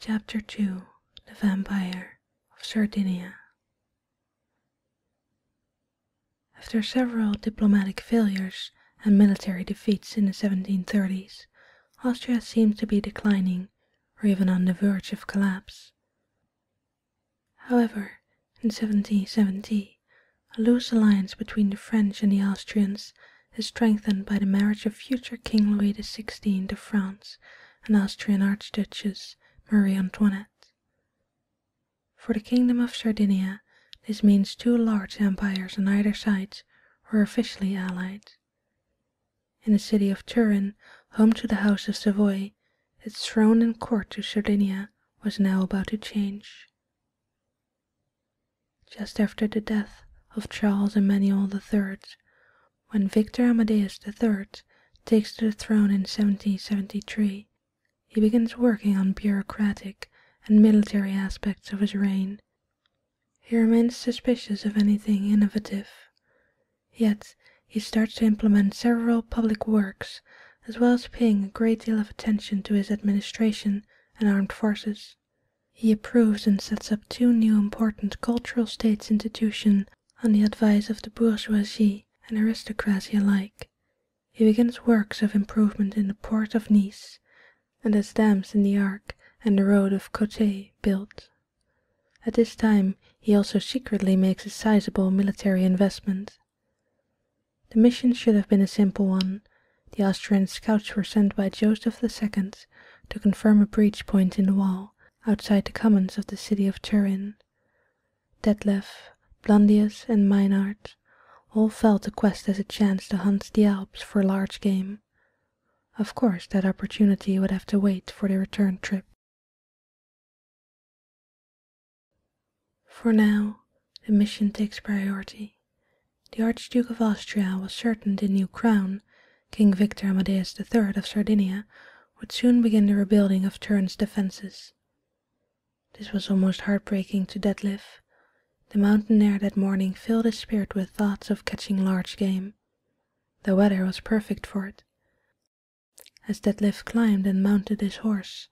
Chapter 2 The Vampire of Sardinia After several diplomatic failures and military defeats in the 1730s, Austria seemed to be declining or even on the verge of collapse. However, in 1770, a loose alliance between the French and the Austrians is strengthened by the marriage of future King Louis the Sixteenth of France and Austrian Archduchess Marie Antoinette. For the Kingdom of Sardinia, this means two large empires on either side were officially allied. In the city of Turin, home to the House of Savoy, its throne and court of Sardinia was now about to change. Just after the death of Charles Emmanuel III, when Victor Amadeus III takes the throne in 1773, he begins working on bureaucratic and military aspects of his reign. He remains suspicious of anything innovative. Yet he starts to implement several public works, as well as paying a great deal of attention to his administration and armed forces. He approves and sets up two new important cultural states institutions on the advice of the bourgeoisie and aristocracy alike. He begins works of improvement in the port of Nice, and has dams in the Arc and the road of Côté built. At this time he also secretly makes a sizable military investment. The mission should have been a simple one, the Austrian scouts were sent by Joseph the Second to confirm a breach point in the wall, outside the commons of the city of Turin. Detlef, Blandius, and Meinhard all felt the quest as a chance to hunt the Alps for large game. Of course that opportunity would have to wait for the return trip. For now, the mission takes priority. The Archduke of Austria was certain the new crown, King Victor Amadeus III of Sardinia, would soon begin the rebuilding of Turin's defences. This was almost heartbreaking to Detlef. The mountain air that morning filled his spirit with thoughts of catching large game. The weather was perfect for it. As Detlef climbed and mounted his horse,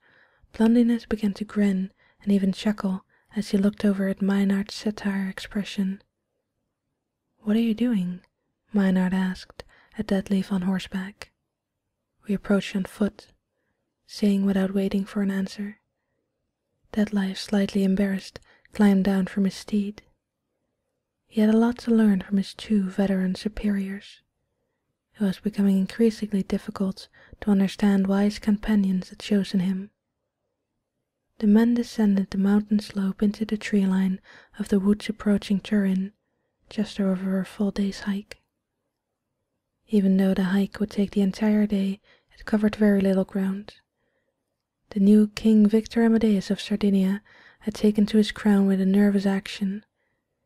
Blondinus began to grin and even chuckle as he looked over at Meinard's satire expression. What are you doing? Meinard asked, a dead leaf on horseback. We approached on foot, saying without waiting for an answer. Dead leaf, slightly embarrassed, climbed down from his steed. He had a lot to learn from his two veteran superiors. It was becoming increasingly difficult to understand why his companions had chosen him the men descended the mountain slope into the tree line of the woods approaching Turin, just over a full day's hike. Even though the hike would take the entire day, it covered very little ground. The new King Victor Amadeus of Sardinia had taken to his crown with a nervous action.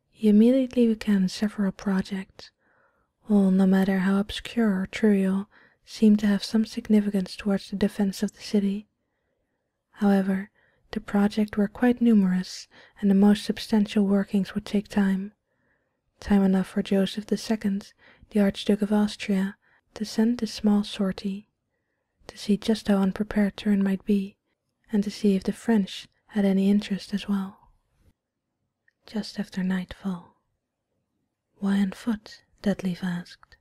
He immediately began several projects all, no matter how obscure or trivial, seemed to have some significance towards the defence of the city. However, the projects were quite numerous, and the most substantial workings would take time. Time enough for Joseph the Second, the Archduke of Austria, to send this small sortie, to see just how unprepared Turin might be, and to see if the French had any interest as well. Just after nightfall why on foot? Detlef asked.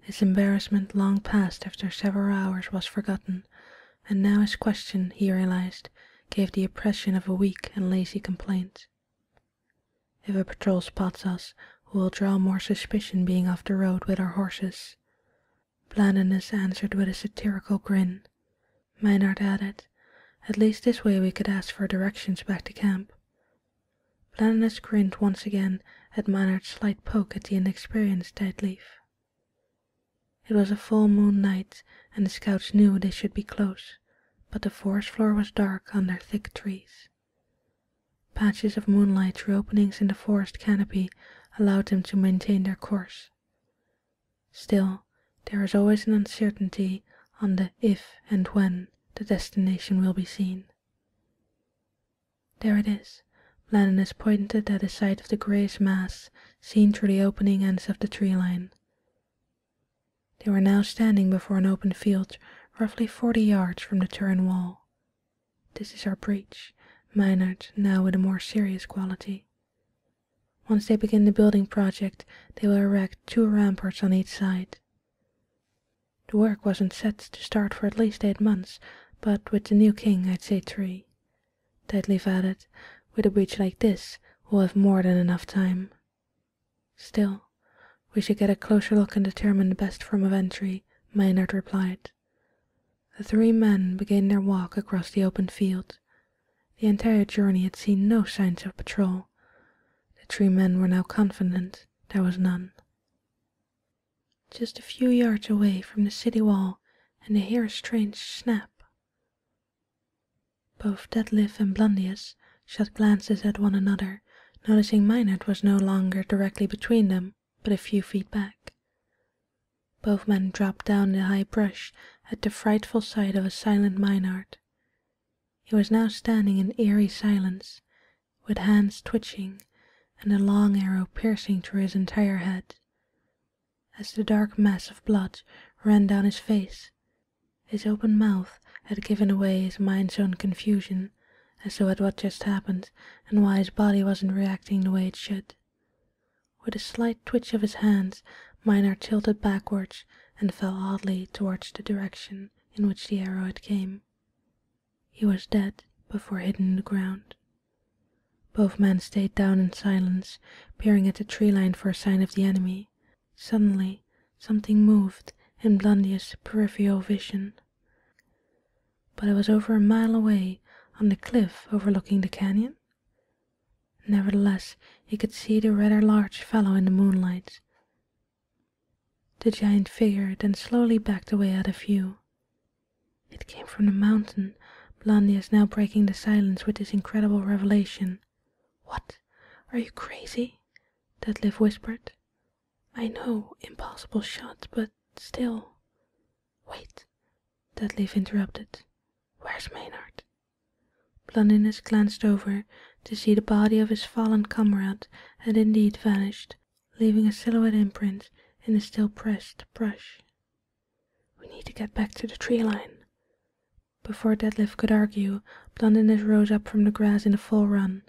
His embarrassment long past after several hours was forgotten, and now his question, he realized, gave the impression of a weak and lazy complaint. If a patrol spots us, we will draw more suspicion being off the road with our horses. Blandinus answered with a satirical grin. Maynard added, At least this way we could ask for directions back to camp. Blindness grinned once again at Manard's slight poke at the inexperienced dead leaf. It was a full moon night, and the scouts knew they should be close, but the forest floor was dark under thick trees. Patches of moonlight through openings in the forest canopy allowed them to maintain their course. Still, there was always an uncertainty on the if and when the destination will be seen. There it is. has pointed at the side of the greyish mass seen through the opening ends of the tree line. They were now standing before an open field roughly forty yards from the Turin wall. This is our breach, Maynard now with a more serious quality. Once they begin the building project, they will erect two ramparts on each side, the work wasn't set to start for at least eight months, but with the new king I'd say three. Tedleaf added, with a breach like this, we'll have more than enough time. Still, we should get a closer look and determine the best form of entry, Maynard replied. The three men began their walk across the open field. The entire journey had seen no signs of patrol. The three men were now confident there was none. Just a few yards away from the city wall, and they hear a strange snap. Both Detlef and Blundius shot glances at one another, noticing Maynard was no longer directly between them, but a few feet back. Both men dropped down the high brush at the frightful sight of a silent Maynard. He was now standing in eerie silence, with hands twitching and a long arrow piercing through his entire head. As the dark mass of blood ran down his face, his open mouth had given away his mind's own confusion as to what just happened and why his body wasn't reacting the way it should. With a slight twitch of his hands, Miner tilted backwards and fell oddly towards the direction in which the arrow had came. He was dead before hidden in the ground. Both men stayed down in silence, peering at the tree line for a sign of the enemy. Suddenly something moved in Blundy's peripheral vision. But it was over a mile away on the cliff overlooking the canyon. Nevertheless, he could see the rather large fellow in the moonlight. The giant figure then slowly backed away out of view. It came from the mountain. Blondie is now breaking the silence with this incredible revelation. "What? Are you crazy?" Detlef whispered. "I know impossible shot, but still "Wait," Detlef interrupted. "Where's Maynard?" Planinus glanced over to see the body of his fallen comrade had indeed vanished, leaving a silhouette imprint in the still pressed brush. We need to get back to the tree line. Before Detlef could argue, Blondinus rose up from the grass in a full run.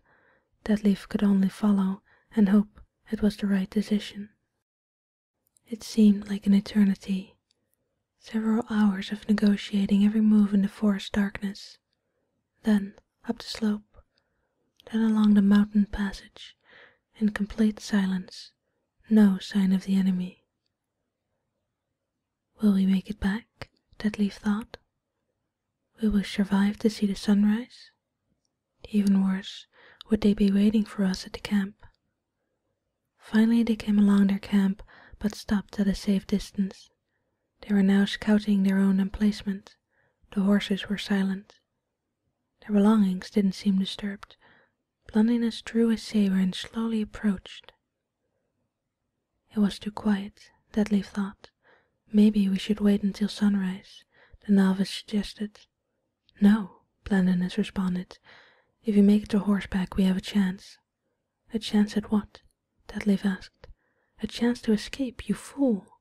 Detlef could only follow and hope it was the right decision. It seemed like an eternity. Several hours of negotiating every move in the forest darkness then up the slope, then along the mountain passage, in complete silence, no sign of the enemy. Will we make it back? Deadleaf thought. Will we survive to see the sunrise? Even worse, would they be waiting for us at the camp? Finally they came along their camp, but stopped at a safe distance. They were now scouting their own emplacement. The horses were silent. Their belongings didn't seem disturbed. Blondinus drew his saber and slowly approached. It was too quiet, Dudley thought. Maybe we should wait until sunrise, the novice suggested. No, Blondinus responded. If we make it to horseback we have a chance. A chance at what? Detlef asked. A chance to escape, you fool!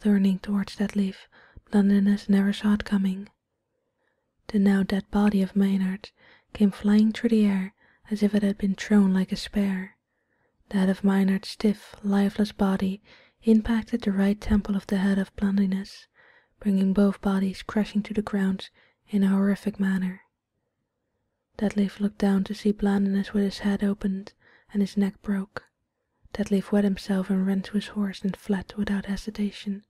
Turning towards Detlef, Blondinus never saw it coming. The now dead body of Maynard came flying through the air as if it had been thrown like a spear. That of Maynard's stiff, lifeless body impacted the right temple of the head of Blondinus, bringing both bodies crashing to the ground in a horrific manner. Deadleaf looked down to see Blindinus with his head opened and his neck broke. Deadleaf wet himself and ran to his horse and fled without hesitation.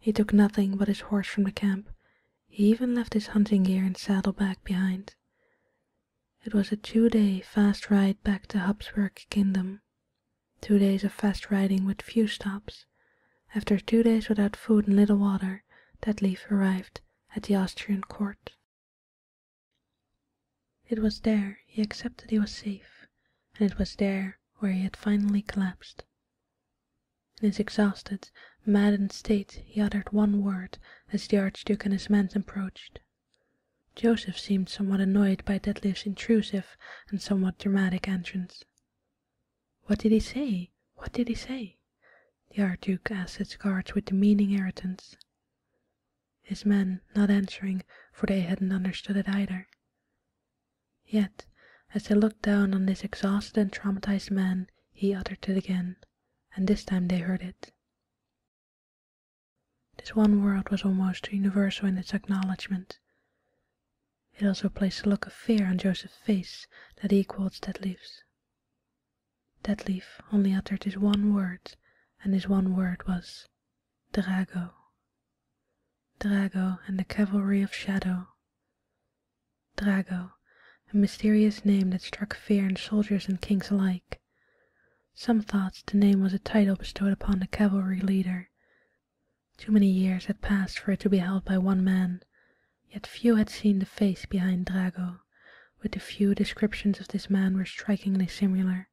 He took nothing but his horse from the camp. He even left his hunting gear and saddle bag behind. It was a two-day fast ride back to Habsburg Kingdom. Two days of fast riding with few stops. After two days without food and little water, Deadleaf arrived at the Austrian court. It was there he accepted he was safe, and it was there where he had finally collapsed. In his exhausted, maddened state he uttered one word as the archduke and his men approached. Joseph seemed somewhat annoyed by Detlev's intrusive and somewhat dramatic entrance. What did he say? What did he say? The Archduke asked his guards with demeaning irritance. His men not answering, for they hadn't understood it either. Yet, as he looked down on this exhausted and traumatized man, he uttered it again, and this time they heard it. This one word was almost universal in its acknowledgment. It also placed a look of fear on Joseph's face that equalled Stedley's. Dead Leaf only uttered his one word, and his one word was Drago. Drago and the Cavalry of Shadow. Drago, a mysterious name that struck fear in soldiers and kings alike. Some thought the name was a title bestowed upon the cavalry leader. Too many years had passed for it to be held by one man. Yet few had seen the face behind Drago, but the few descriptions of this man were strikingly similar.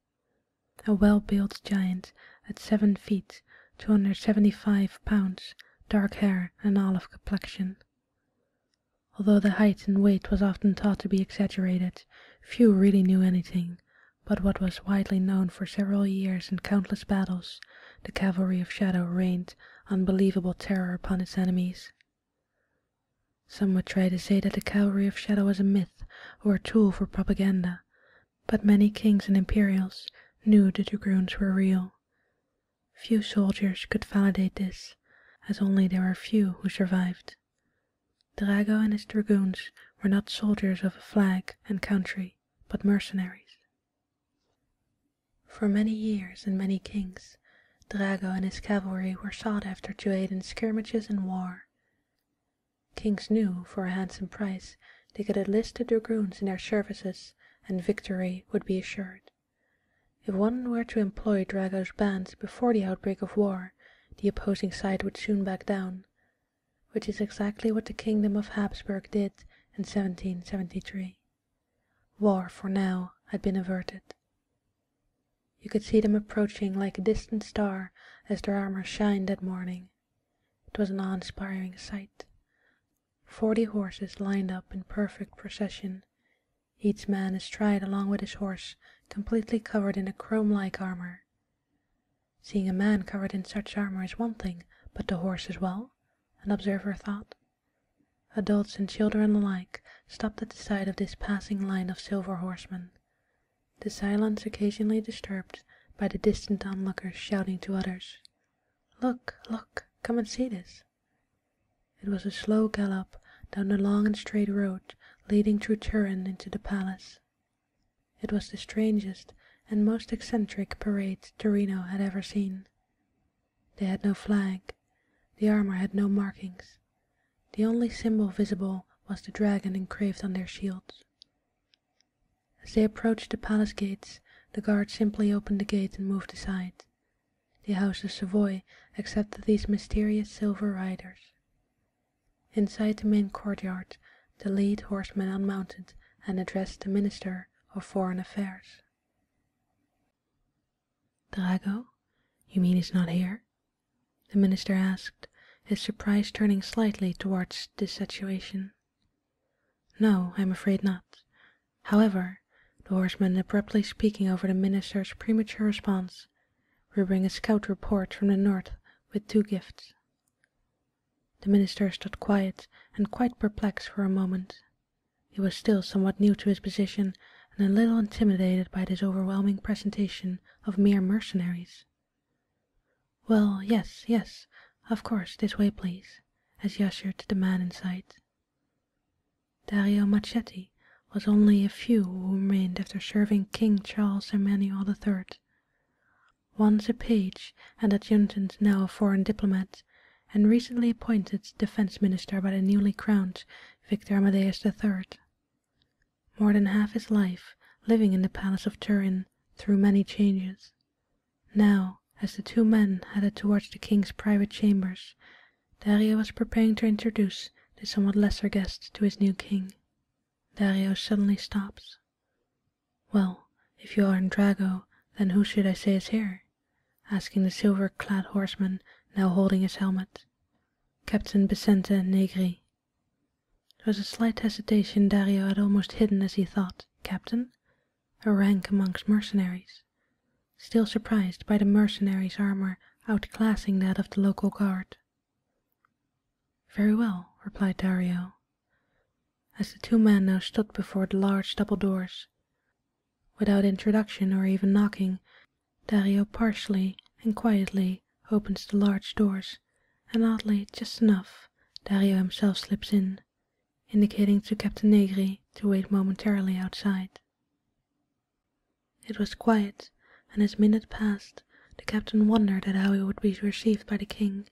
A well-built giant at seven feet, 275 pounds, dark hair and olive complexion. Although the height and weight was often thought to be exaggerated, few really knew anything but what was widely known for several years in countless battles, the cavalry of shadow rained unbelievable terror upon its enemies. Some would try to say that the Cavalry of Shadow was a myth or a tool for propaganda, but many kings and imperials knew the dragoons were real. Few soldiers could validate this, as only there were few who survived. Drago and his dragoons were not soldiers of a flag and country, but mercenaries. For many years and many kings, Drago and his cavalry were sought after to aid in skirmishes and war. Kings knew, for a handsome price, they could enlist the dragoons in their services, and victory would be assured. If one were to employ Drago's bands before the outbreak of war, the opposing side would soon back down, which is exactly what the kingdom of Habsburg did in 1773. War for now had been averted. You could see them approaching like a distant star as their armour shined that morning. It was an awe-inspiring sight. Forty horses lined up in perfect procession, each man astride along with his horse, completely covered in a chrome-like armour. Seeing a man covered in such armour is one thing, but the horse as well, an observer thought. Adults and children alike stopped at the sight of this passing line of silver horsemen, the silence occasionally disturbed by the distant onlookers shouting to others, "Look, look, come and see this!" It was a slow gallop down the long and straight road leading through Turin into the palace. It was the strangest and most eccentric parade Torino had ever seen. They had no flag, the armour had no markings. The only symbol visible was the dragon engraved on their shields. As they approached the palace gates, the guard simply opened the gate and moved aside. The House of Savoy accepted these mysterious silver riders. Inside the main courtyard, the lead horseman unmounted and addressed the Minister of Foreign Affairs. Drago, you mean he's not here? The minister asked, his surprise turning slightly towards this situation. No, I'm afraid not. However, the horseman abruptly speaking over the minister's premature response, we bring a scout report from the north with two gifts. The minister stood quiet and quite perplexed for a moment. He was still somewhat new to his position, and a little intimidated by this overwhelming presentation of mere mercenaries. "Well, yes, yes, of course, this way, please," as he ushered the man inside. Dario Marchetti was only a few who remained after serving King Charles Emmanuel the Third. Once a page and adjutant, now a foreign diplomat and recently appointed defense minister by the newly crowned Victor Amadeus III. More than half his life living in the palace of Turin through many changes. Now, as the two men headed towards the king's private chambers, Dario was preparing to introduce the somewhat lesser guest to his new king. Dario suddenly stops. Well, if you are in Drago, then who should I say is here? asking the silver-clad horseman now holding his helmet, Captain Vicente Negri. There was a slight hesitation Dario had almost hidden as he thought, Captain? A rank amongst mercenaries. Still surprised by the mercenary's armour outclassing that of the local guard. Very well, replied Dario. As the two men now stood before the large double doors, Without introduction or even knocking, Dario partially and quietly opens the large doors, and oddly just enough Dario himself slips in, indicating to Captain Negri to wait momentarily outside. It was quiet, and as minute passed, the captain wondered at how he would be received by the king.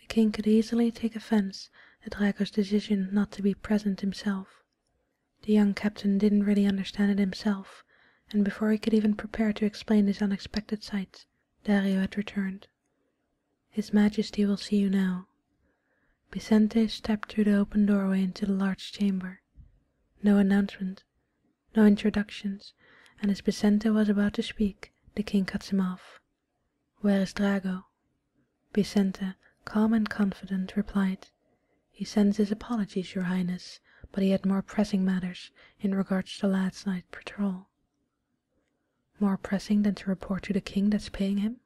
The king could easily take offence at Rago's decision not to be present himself. The young captain didn't really understand it himself, and before he could even prepare to explain his unexpected sights, Dario had returned. "His Majesty will see you now." Vicente stepped through the open doorway into the large chamber. No announcement, no introductions, and as Vicente was about to speak, the king cuts him off. "Where is Drago?" Bisenta, calm and confident, replied, "He sends his apologies, your Highness, but he had more pressing matters in regard to the lad's night patrol." "More pressing than to report to the king that's paying him?"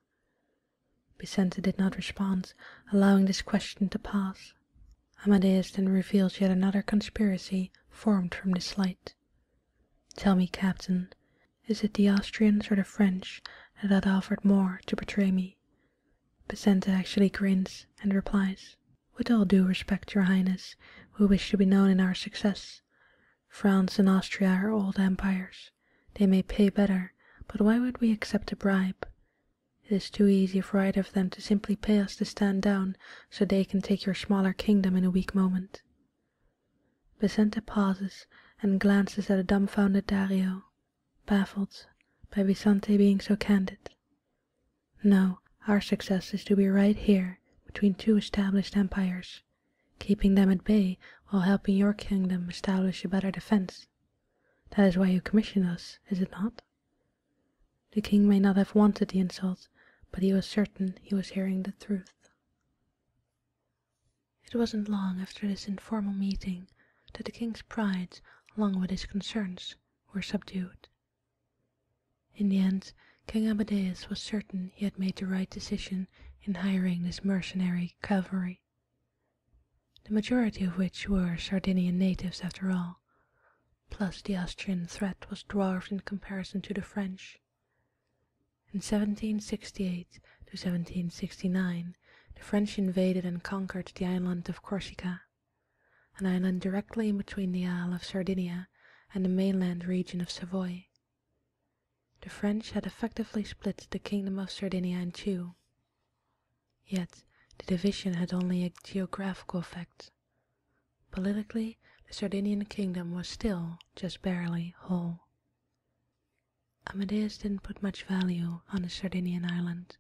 Bisenta did not respond, allowing this question to pass. Amadeus then reveals yet another conspiracy formed from this light. "Tell me, captain, is it the Austrians or the French that have offered more to betray me? But actually grins and replies, With all due respect, your highness, we wish to be known in our success. France and Austria are old empires. They may pay better, but why would we accept a bribe? It is too easy for either of them to simply pay us to stand down, so they can take your smaller kingdom in a weak moment. Vicente pauses and glances at the dumbfounded Dario baffled by Visante being so candid. No, our success is to be right here between two established empires, keeping them at bay while helping your kingdom establish a better defense. That is why you commissioned us, is it not? The king may not have wanted the insult, but he was certain he was hearing the truth. It wasn't long after this informal meeting that the king's pride, along with his concerns, were subdued. In the end, King Amadeus was certain he had made the right decision in hiring this mercenary cavalry, the majority of which were Sardinian natives after all, plus the Austrian threat was dwarfed in comparison to the French. In 1768 to 1769 the French invaded and conquered the island of Corsica, an island directly in between the Isle of Sardinia and the mainland region of Savoy. The French had effectively split the kingdom of Sardinia in two. Yet the division had only a geographical effect. Politically, the Sardinian kingdom was still just barely whole. Amadeus didn't put much value on the Sardinian island,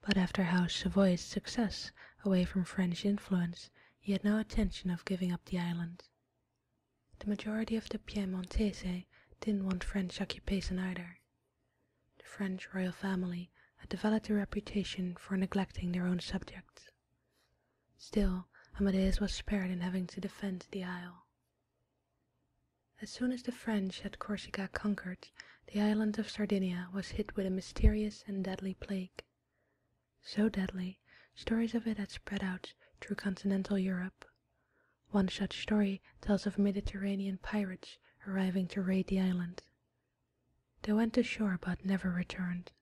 but after how Savoy's success away from French influence, he had no intention of giving up the island. The majority of the Piemontese didn't want French occupation either. The French royal family had developed a reputation for neglecting their own subjects. Still, Amadeus was spared in having to defend the isle. As soon as the French had Corsica conquered, the island of Sardinia was hit with a mysterious and deadly plague. So deadly, stories of it had spread out through continental Europe. One such story tells of Mediterranean pirates arriving to raid the island. They went ashore but never returned.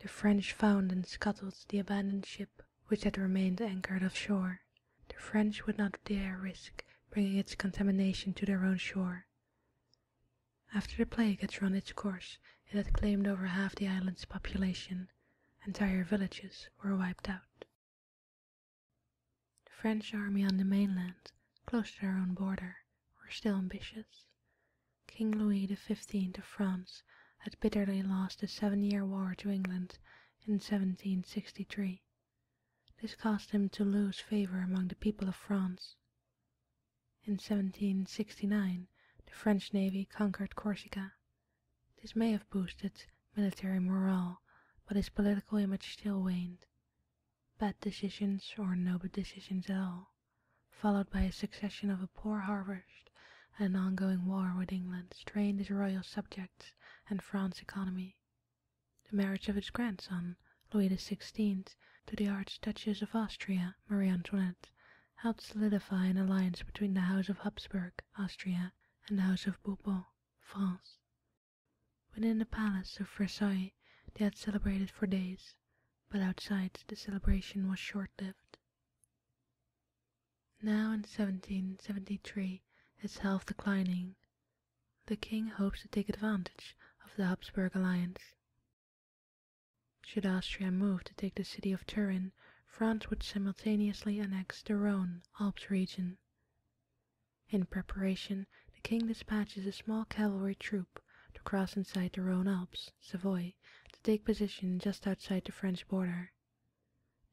The French found and scuttled the abandoned ship which had remained anchored offshore. The French would not dare risk bringing its contamination to their own shore. After the plague had run its course, it had claimed over half the island's population. Entire villages were wiped out. The French army on the mainland, close to their own border, were still ambitious. King Louis XV of France had bitterly lost the Seven Years' War to England in 1763, this caused him to lose favor among the people of France. In 1769 the French navy conquered Corsica. This may have boosted military morale, but his political image still waned. Bad decisions, or no decisions at all, followed by a succession of a poor harvest and an ongoing war with England, strained his royal subjects and France's economy. The marriage of its grandson, Louis XVI, to the Archduchess of Austria, Marie Antoinette, helped solidify an alliance between the House of Habsburg, Austria, and the House of Bourbon, France. Within the palace of Versailles they had celebrated for days, but outside the celebration was short-lived. Now in 1773, his health declining, the king hopes to take advantage of the Habsburg alliance. Should Austria move to take the city of Turin, France would simultaneously annex the Rhone Alps region. In preparation, the king dispatches a small cavalry troop to cross inside the Rhone Alps, Savoy, to take position just outside the French border.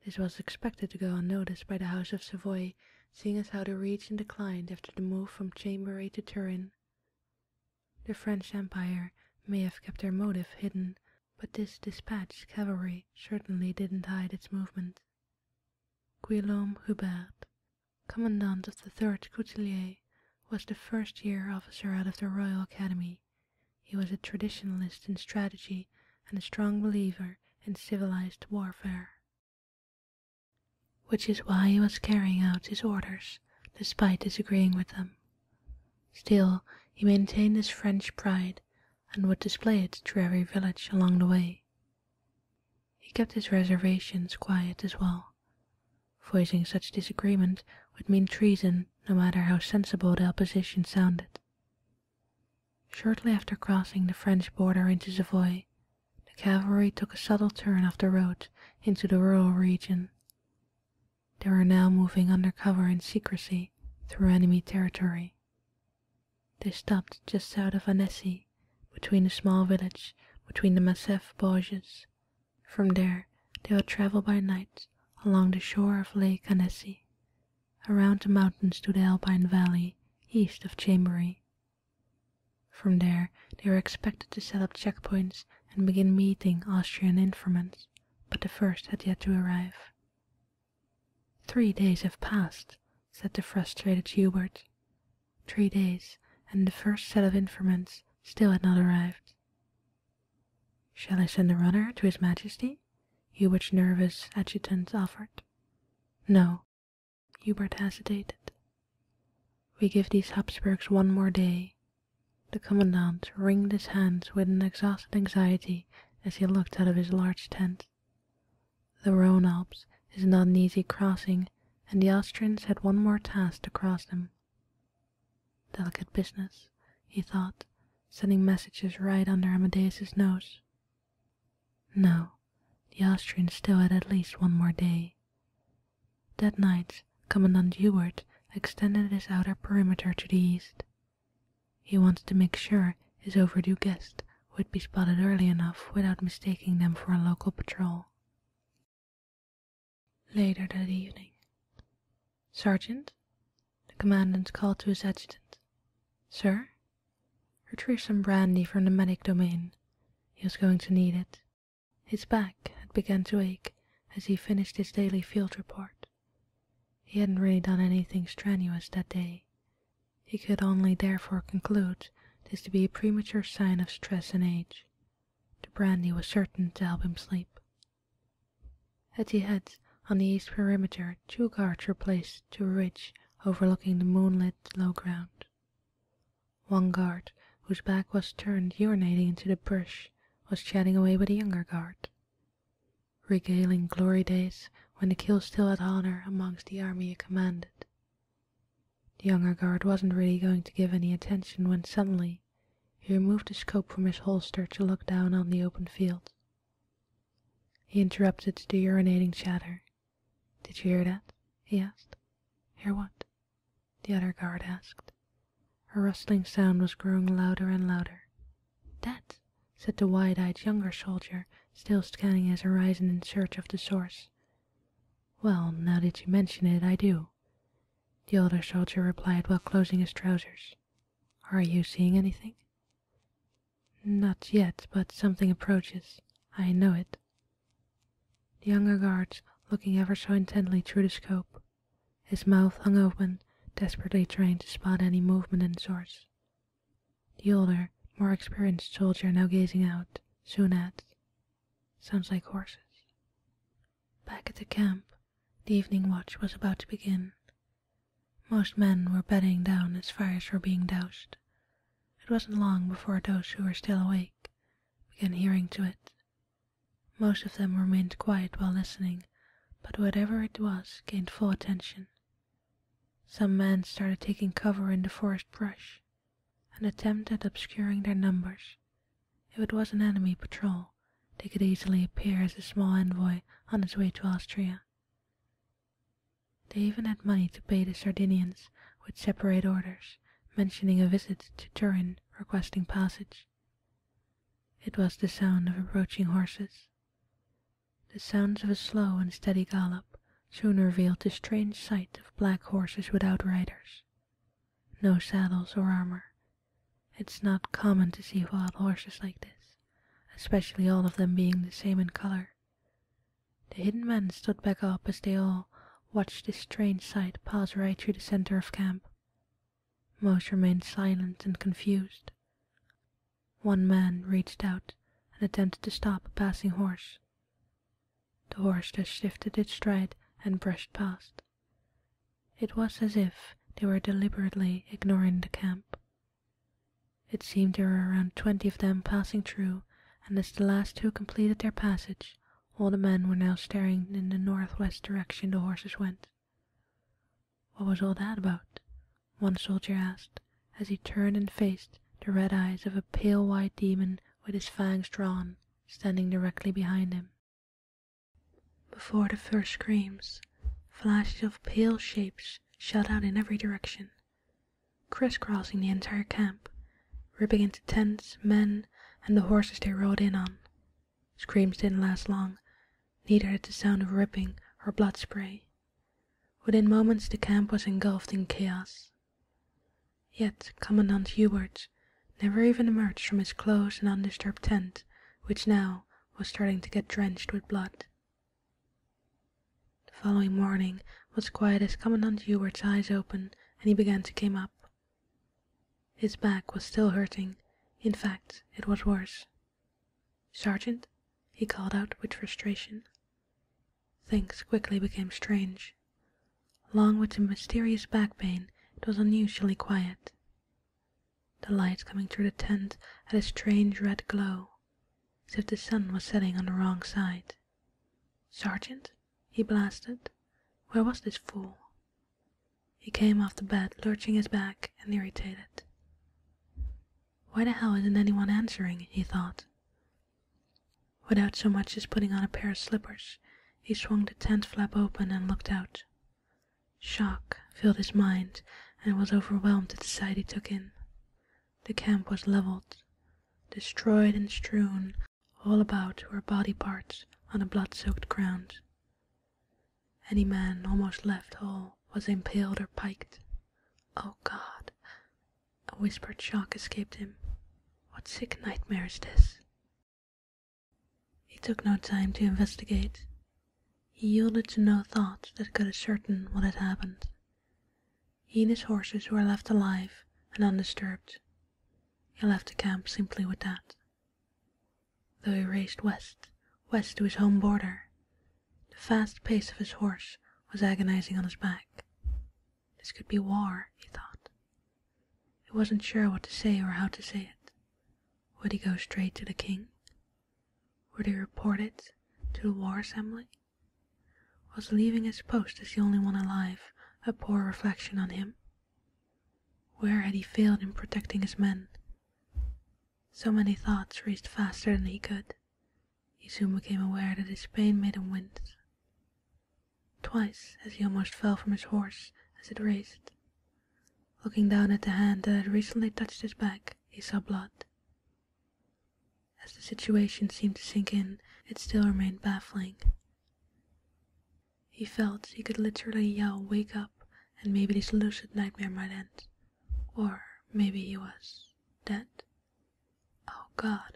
This was expected to go unnoticed by the House of Savoy, seeing as how the region declined after the move from Chambery to Turin. The French Empire may have kept their motive hidden, but this dispatched cavalry certainly didn't hide its movement. Guillaume Hubert, commandant of the third Couteliers, was the first year officer out of the Royal Academy. He was a traditionalist in strategy and a strong believer in civilized warfare. Which is why he was carrying out his orders, despite disagreeing with them. Still, he maintained his French pride, and would display it through every village along the way. He kept his reservations quiet as well. Voicing such disagreement would mean treason, no matter how sensible the opposition sounded. Shortly after crossing the French border into Savoy, the cavalry took a subtle turn of the road into the rural region. They were now moving under cover and secrecy through enemy territory. They stopped just south of Annecy, between a small village between the massif Borges. From there they would travel by night along the shore of Lake Annecy, around the mountains to the Alpine Valley east of Chambery. From there they were expected to set up checkpoints and begin meeting Austrian informants, but the first had yet to arrive. Three days have passed, said the frustrated Hubert. Three days, and the first set of informants still had not arrived. Shall I send a runner to His Majesty? me? Hubert's nervous adjutant offered. No, Hubert hesitated. We give these Habsburgs one more day. The commandant wrung his hands with an exhausted anxiety as he looked out of his large tent. The Rhone Alps is not an easy crossing, and the Austrians had one more task to cross them. Delicate business, he thought, sending messages right under Amadeus's nose. No, the Austrians still had at least one more day. That night, Commandant Ewert extended his outer perimeter to the east. He wanted to make sure his overdue guest would be spotted early enough without mistaking them for a local patrol. Later that evening. Sergeant, the commandant called to his adjutant. Sir? Retrieve some brandy from the medic domain. He was going to need it. His back had begun to ache as he finished his daily field report. He hadn't really done anything strenuous that day. He could only therefore conclude this to be a premature sign of stress and age. The brandy was certain to help him sleep. At the head, on the east perimeter, two guards were placed to a ridge overlooking the moonlit low ground. One guard, whose back was turned urinating into the brush, was chatting away with a younger guard, regaling glory days when the kill still had honour amongst the army it commanded. The younger guard wasn't really going to give any attention when suddenly he removed his scope from his holster to look down on the open field. He interrupted the urinating chatter. Did you hear that? he asked. Hear what? the other guard asked. A rustling sound was growing louder and louder. That, said the wide-eyed younger soldier, still scanning his horizon in search of the source. Well, now that you mention it, I do, the older soldier replied while closing his trousers. Are you seeing anything? Not yet, but something approaches. I know it. The younger guard, looking ever so intently through the scope, his mouth hung open, desperately trying to spot any movement in the source. The older, more experienced soldier now gazing out, soon adds, Sounds like horses. Back at the camp, the evening watch was about to begin, most men were bedding down as fires were being doused. It wasn't long before those who were still awake began hearing to it. Most of them remained quiet while listening, but whatever it was gained full attention. Some men started taking cover in the forest brush, an attempt at obscuring their numbers. If it was an enemy patrol, they could easily appear as a small envoy on his way to Austria. They even had money to pay the Sardinians with separate orders, mentioning a visit to Turin, requesting passage. It was the sound of approaching horses. The sounds of a slow and steady gallop soon revealed the strange sight of black horses without riders. No saddles or armor. It's not common to see wild horses like this especially all of them being the same in colour. The hidden men stood back up as they all watched this strange sight pass right through the centre of camp. Most remained silent and confused. One man reached out and attempted to stop a passing horse. The horse just shifted its stride and brushed past. It was as if they were deliberately ignoring the camp, it seemed there were around twenty of them passing through, and as the last two completed their passage, all the men were now staring in the northwest direction the horses went. What was all that about? one soldier asked, as he turned and faced the red eyes of a pale white demon with his fangs drawn, standing directly behind him. Before the first screams, flashes of pale shapes flash out in every direction, crisscrossing the entire camp, ripping into tents, men, and the horses they rode in on. Screams didn't last long, neither did the sound of ripping or blood spray. Within moments the camp was engulfed in chaos. Yet Commandant Hubert never even emerged from his close and undisturbed tent, which now was starting to get drenched with blood. The following morning was quiet as Commandant Hubert's eyes opened and he began to come up. His back was still hurting. In fact, it was worse. Sergeant, he called out with frustration. Things quickly became strange. Along with the mysterious back pain, it was unusually quiet. The light coming through the tent had a strange red glow, as if the sun was setting on the wrong side. Sergeant, he blasted, where was this fool? He came off the bed, lurching his back and irritated. Why the hell isn't anyone answering, he thought. Without so much as putting on a pair of slippers, he swung the tent flap open and looked out. Shock filled his mind, and was overwhelmed at the sight he took in. The camp was leveled. Destroyed and strewn all about were body parts on a blood-soaked ground. Any man almost left whole was impaled or piked. Oh God! A whispered shock escaped him. What sick nightmare is this? He took no time to investigate. He yielded to no thought that could ascertain what had happened. He and his horses were left alive and undisturbed. He left the camp simply with that. Though he raced west, west to his home border, the fast pace of his horse was agonizing on his back. This could be war, he thought. He wasn't sure what to say or how to say it. Would he go straight to the king? Were they reported to the War Assembly? Was leaving his post as the only one alive a poor reflection on him? Where had he failed in protecting his men? So many thoughts raced faster than he could. He soon became aware that his pain made him wince. Twice, as he almost fell from his horse as it raced. Looking down at the hand that had recently touched his back, he saw blood. As the situation seemed to sink in, it still remained baffling. He felt he could literally yell, wake up, and maybe this lucid nightmare might end. Or maybe he was dead. Oh God,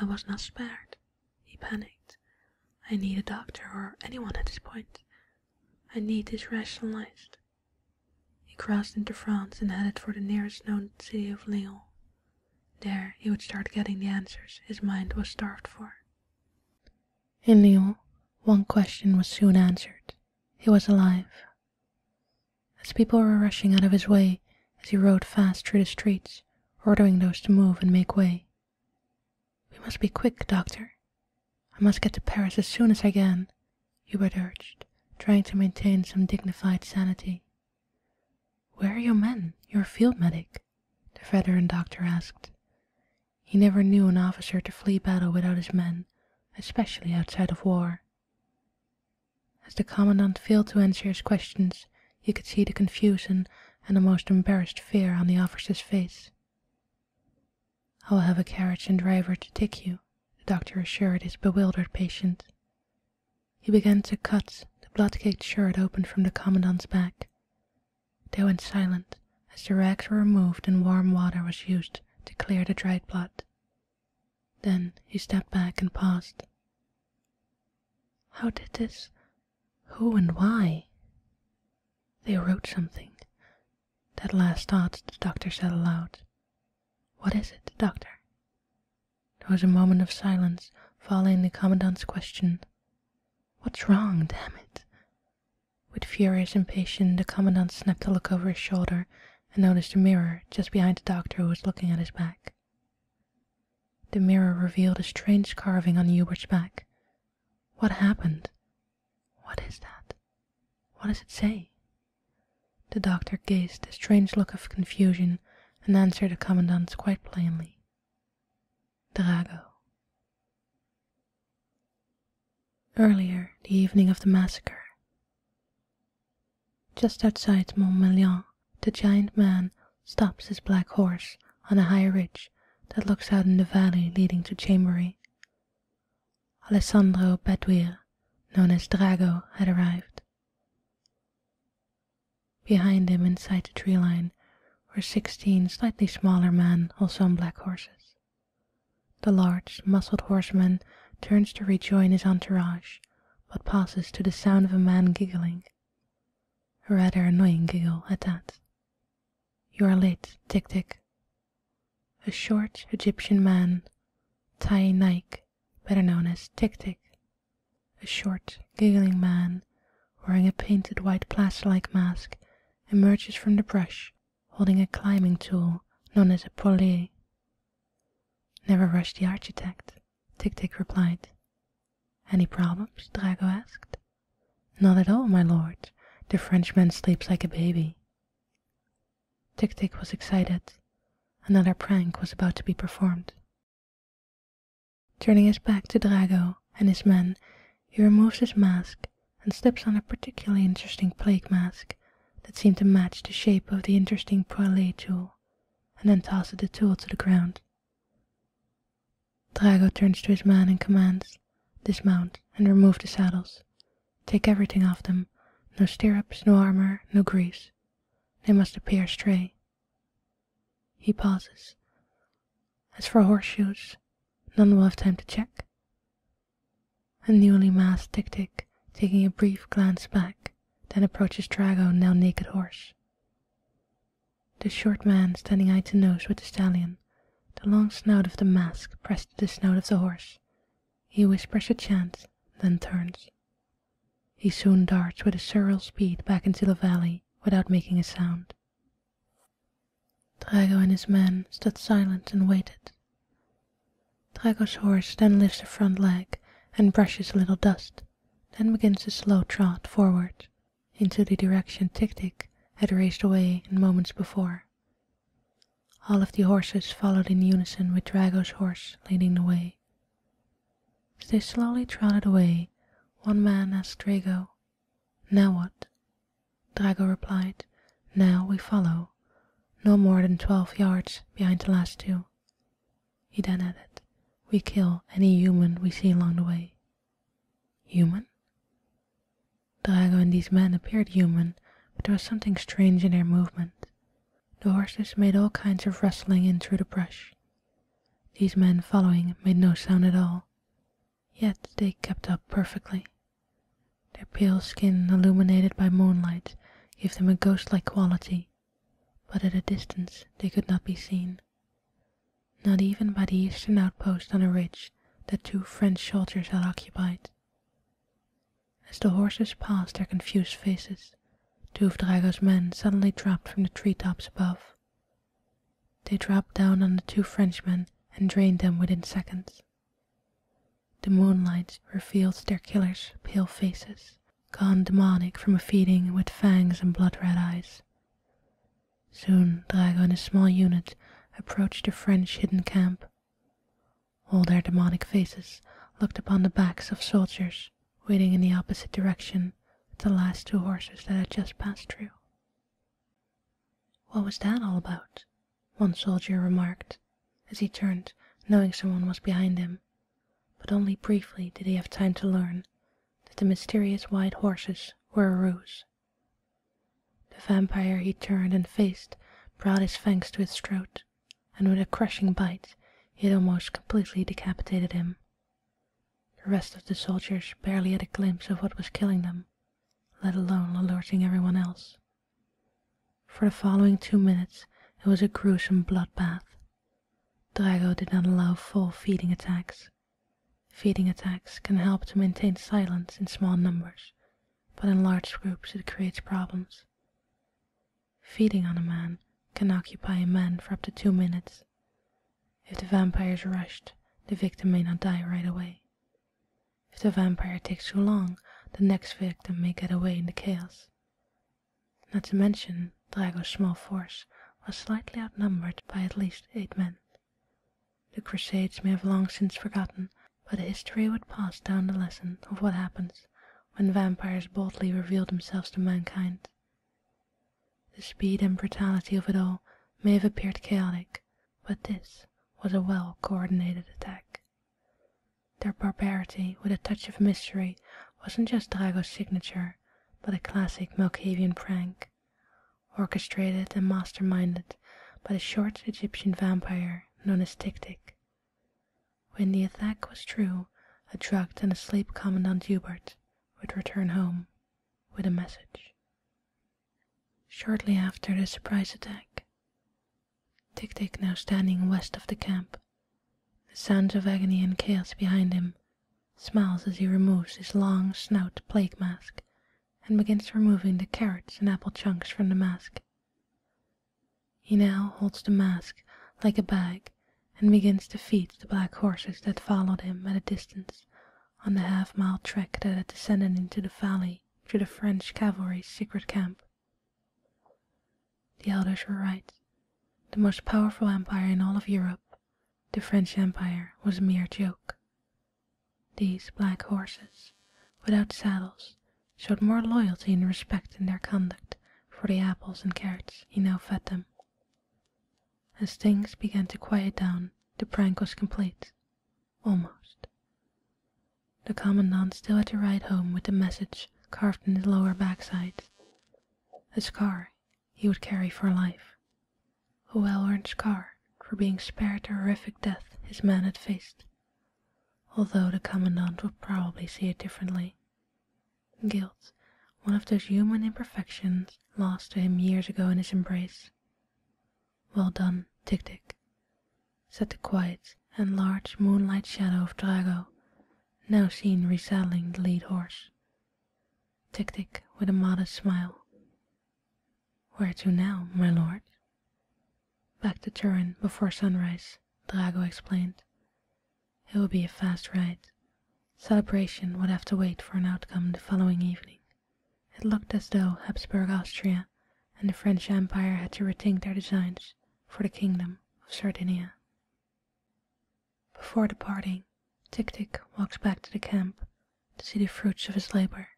I was not spared. He panicked. I need a doctor or anyone at this point. I need this rationalized. He crossed into France and headed for the nearest known city of Lyons. There he would start getting the answers his mind was starved for. In Lyons, one question was soon answered. He was alive. As people were rushing out of his way as he rode fast through the streets, ordering those to move and make way. We must be quick, doctor. I must get to Paris as soon as I can. Hubert urged, trying to maintain some dignified sanity. Where are your men, your field medic? the veteran doctor asked. He never knew an officer to flee battle without his men, especially outside of war. As the commandant failed to answer his questions, he could see the confusion and a most embarrassed fear on the officer's face. I'll have a carriage and driver to take you, the doctor assured his bewildered patient. He began to cut the blood-caked shirt open from the commandant's back. They went silent as the rags were removed and warm water was used to clear the dried blood. Then he stepped back and paused. How did this? Who and why? They wrote something. That last thought the doctor said aloud. What is it, doctor? There was a moment of silence following the commandant's question. What's wrong, damn it? With furious impatience, the commandant snapped a look over his shoulder and noticed a mirror just behind the doctor who was looking at his back. The mirror revealed a strange carving on Hubert's back. What happened? What is that? What does it say? The doctor gazed a strange look of confusion and answered the commandant quite plainly. Drago. Earlier, the evening of the massacre. Just outside Montmelian, the giant man stops his black horse on a high ridge that looks out on the valley leading to Chambery. Alessandro Baduir, known as Drago, had arrived. Behind him, inside the tree line, were sixteen slightly smaller men, also on black horses. The large, muscled horseman turns to rejoin his entourage, but passes to the sound of a man giggling. A rather annoying giggle at that. You are late, Tick Tick, a short Egyptian man, Tai Naik, better known as Tik Tik, a short, giggling man, wearing a painted white plaster-like mask, emerges from the brush, holding a climbing tool known as a polier. Never rush the architect, Tik Tik replied. Any problems? Drago asked. Not at all, my lord. The Frenchman sleeps like a baby. Tick Tick was excited. Another prank was about to be performed. Turning his back to Drago and his men, he removes his mask and slips on a particularly interesting plague mask that seemed to match the shape of the interesting Poilet tool, and then tosses the tool to the ground. Drago turns to his men and commands, Dismount and remove the saddles. Take everything off them no stirrups, no armour, no grease. They must appear stray. He pauses. As for horseshoes, none will have time to check. The newly masked Tick Tick, taking a brief glance back, then approaches Drago, now naked horse. The short man standing eye to nose with the stallion, the long snout of the mask pressed to the snout of the horse, he whispers a chant, then turns. He soon darts with a surreal speed back into the valley without making a sound. Drago and his men stood silent and waited. Drago's horse then lifts a front leg and brushes a little dust, then begins a slow trot forward into the direction Tik-Tik had raced away in moments before. All of the horses followed in unison with Drago's horse leading the way. As they slowly trotted away, one man asked Drago, Now what? Drago replied, Now we follow, no more than twelve yards behind the last two. He then added, We kill any human we see along the way. Human? Drago and these men appeared human, but there was something strange in their movement. The horses made all kinds of rustling in through the brush. These men following made no sound at all, yet they kept up perfectly. Their pale skin, illuminated by moonlight, gave them a ghost-like quality, but at a distance they could not be seen. Not even by the eastern outpost on a ridge that two French soldiers had occupied. As the horses passed their confused faces, two of Drago's men suddenly dropped from the treetops above. They dropped down on the two Frenchmen and drained them within seconds. The moonlight revealed their killers' pale faces, gone demonic from a feeding with fangs and blood-red eyes. Soon Drago and his small unit approached the French hidden camp. All their demonic faces looked upon the backs of soldiers waiting in the opposite direction at the last two horses that had just passed through. What was that all about? one soldier remarked as he turned, knowing someone was behind him. But only briefly did he have time to learn that the mysterious white horses were a ruse. The vampire he turned and faced brought his fangs to his throat and with a crushing bite it almost completely decapitated him. The rest of the soldiers barely had a glimpse of what was killing them, let alone alerting everyone else. For the following two minutes it was a gruesome bloodbath. Drago did not allow full feeding attacks. Feeding attacks can help to maintain silence in small numbers but in large groups it creates problems. Feeding on a man can occupy a man for up to two minutes. If the vampire is rushed, the victim may not die right away. If the vampire takes too long, the next victim may get away in the chaos. Not to mention, Drago's small force was slightly outnumbered by at least eight men. The Crusades may have long since forgotten but history would pass down the lesson of what happens when vampires boldly reveal themselves to mankind. The speed and brutality of it all may have appeared chaotic, but this was a well-coordinated attack. Their barbarity with a touch of mystery wasn't just Drago's signature, but a classic Malkavian prank, orchestrated and masterminded by the short Egyptian vampire known as Tik-Tik, when the attack was true, a drugged and asleep Commandant Hubert would return home with a message. Shortly after the surprise attack, Tick Tick now standing west of the camp, the sounds of agony and chaos behind him, smiles as he removes his long snout plague mask and begins removing the carrots and apple chunks from the mask. He now holds the mask like a bag and begins to feed the black horses that followed him at a distance on the half-mile track that had descended into the valley to the French cavalry's secret camp. The elders were right. The most powerful empire in all of Europe, the French Empire, was a mere joke. These black horses, without saddles showed more loyalty and respect in their conduct for the apples and carrots he now fed them. As things began to quiet down, the prank was complete, almost. The commandant still had to ride home with the message carved in his lower backside. A scar he would carry for life. A well-earned scar for being spared the horrific death his men had faced although the commandant would probably see it differently. Guilt, one of those human imperfections lost to him years ago in his embrace. Well done, Tick Tick, said the quiet and large moonlight shadow of Drago, now seen resaddling the lead horse. Tick Tick with a modest smile. Where to now, my lord? Back to Turin before sunrise, Drago explained. It would be a fast ride. Celebration would have to wait for an outcome the following evening. It looked as though Habsburg Austria and the French Empire had to rethink their designs for the Kingdom of Sardinia. Before departing, Tick-Tick walks back to the camp to see the fruits of his labor.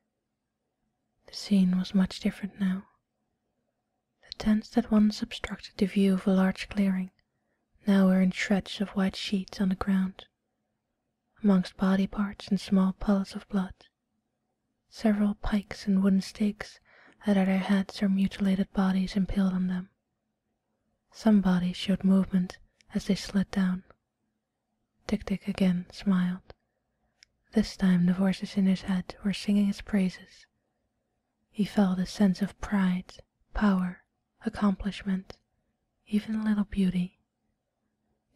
The scene was much different now. The tents that once obstructed the view of a large clearing now were in shreds of white sheets on the ground, amongst body parts and small puddles of blood. Several pikes and wooden stakes had their heads or mutilated bodies impaled on them. Some bodies showed movement as they slid down. Tick-Tick again smiled. This time the voices in his head were singing his praises. He felt a sense of pride, power, accomplishment, even a little beauty.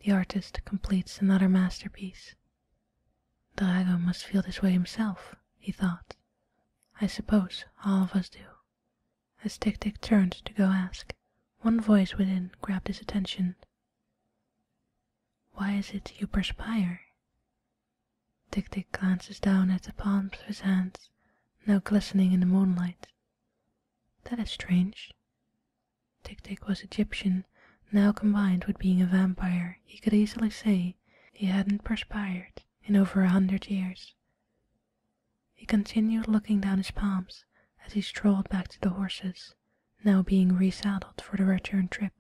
The artist completes another masterpiece. Drago must feel this way himself, he thought. I suppose all of us do. As Tick Tick turned to go ask, one voice within grabbed his attention why is it you perspire? Tick Tick glances down at the palms of his hands, now glistening in the moonlight. That is strange. Tick Tick was Egyptian, now combined with being a vampire, he could easily say he hadn't perspired in over a hundred years. He continued looking down his palms as he strolled back to the horses, now being resaddled for the return trip.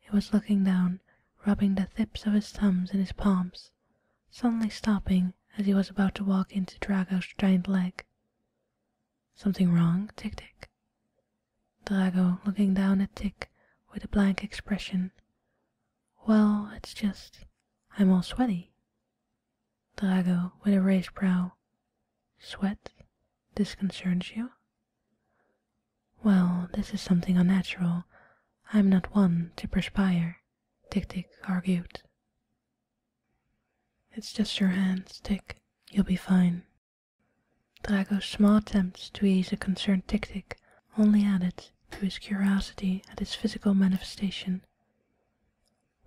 He was looking down, rubbing the tips of his thumbs in his palms, suddenly stopping as he was about to walk into Drago's giant leg. Something wrong, Tick Tick? Drago looking down at Tick with a blank expression. Well, it's just I'm all sweaty. Drago with a raised brow. Sweat disconcerts you? Well, this is something unnatural. I am not one to perspire, Tick Tick argued. It's just your hands, Tick. You'll be fine. Drago's small attempts to ease a concerned Tick Tick only added to his curiosity at his physical manifestation.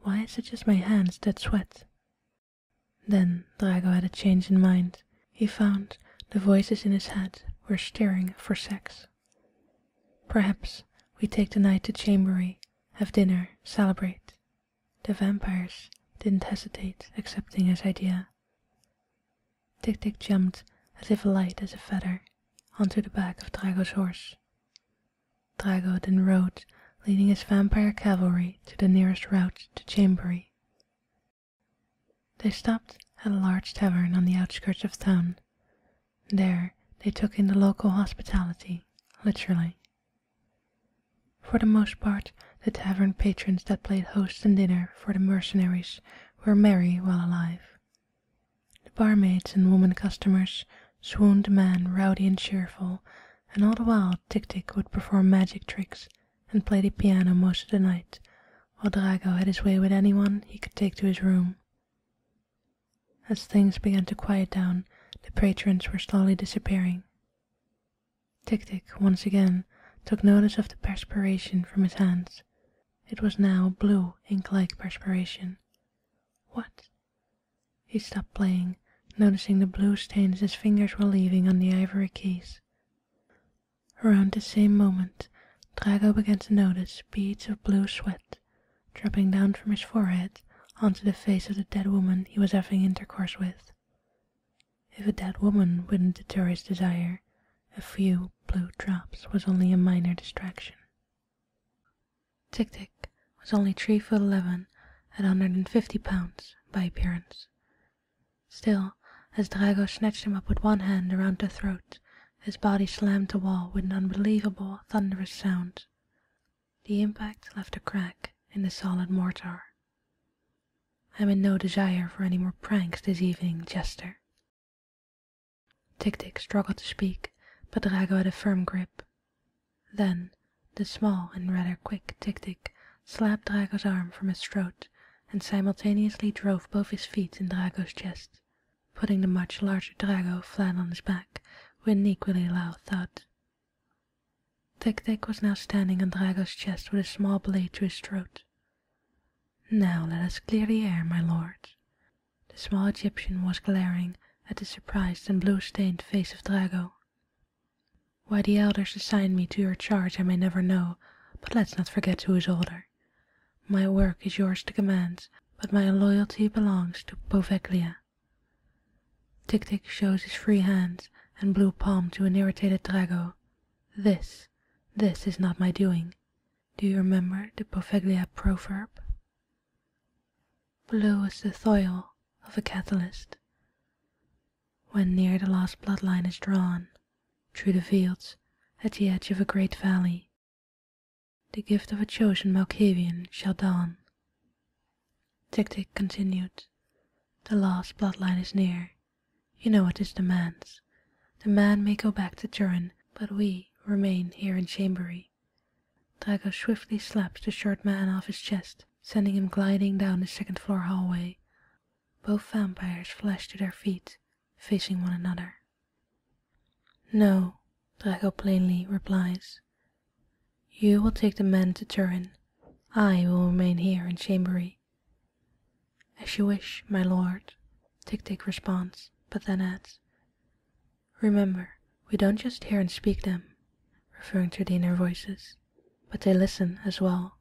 Why is it just my hands that sweat? Then Drago had a change in mind. He found the voices in his head were stirring for sex. Perhaps we take the night to Chambery, have dinner, celebrate. The vampires didn't hesitate accepting his idea. Tick Tick jumped as if light as a feather onto the back of Drago's horse. Drago then rode, leading his vampire cavalry to the nearest route to Chambery, they stopped at a large tavern on the outskirts of town. There they took in the local hospitality, literally. For the most part, the tavern patrons that played host and dinner for the mercenaries were merry while alive. The barmaids and woman customers swooned a man rowdy and cheerful, and all the while Tick-Tick would perform magic tricks and played the piano most of the night, while Drago had his way with anyone he could take to his room. As things began to quiet down, the patrons were slowly disappearing. Tick-Tick, once again, took notice of the perspiration from his hands. It was now blue, ink-like perspiration. What? He stopped playing, noticing the blue stains his fingers were leaving on the ivory keys. Around the same moment, Drago began to notice beads of blue sweat dropping down from his forehead onto the face of the dead woman he was having intercourse with. If a dead woman wouldn't deter his desire, a few blue drops was only a minor distraction. Tick Tick was only three foot eleven and 150 pounds by appearance, Still, as Drago snatched him up with one hand around the throat, his body slammed the wall with an unbelievable thunderous sound. The impact left a crack in the solid mortar. I'm in no desire for any more pranks this evening, Jester. Tick-Tick struggled to speak, but Drago had a firm grip. Then, the small and rather quick Tic-Tic slapped Drago's arm from his throat and simultaneously drove both his feet in Drago's chest, putting the much larger Drago flat on his back with an equally loud thud. Tic-Tic was now standing on Drago's chest with a small blade to his throat. Now let us clear the air, my lords. The small Egyptian was glaring at the surprised and blue-stained face of Drago. Why the elders assigned me to your charge I may never know, but let's not forget who is older. My work is yours to command, but my loyalty belongs to Poveglia. Tick-Tick shows his free hands and blue palm to an irritated Drago. This, this is not my doing. Do you remember the Poveglia proverb? Blue is the soil of a catalyst. When near the last bloodline is drawn, through the fields, at the edge of a great valley, the gift of a chosen Malkavian shall dawn. Tick-Tick continued, the last bloodline is near. You know what this demands. The man may go back to Turin, but we remain here in Chambery. Drago swiftly slaps the short man off his chest sending him gliding down the second floor hallway. Both vampires flash to their feet, facing one another. No, Draco plainly replies. You will take the men to Turin. I will remain here in Chambery. As you wish, my lord, Tick Tick responds, but then adds, Remember, we don't just hear and speak them, referring to the inner voices but they listen as well.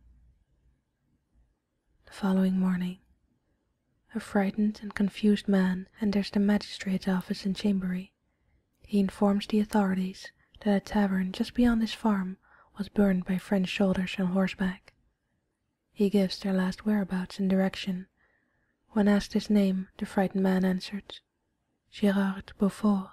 The following morning, a frightened and confused man enters the magistrate's office in Chambery. He informs the authorities that a tavern just beyond his farm was burned by French soldiers on horseback. He gives their last whereabouts and direction. When asked his name, the frightened man answered, Girard Beaufort.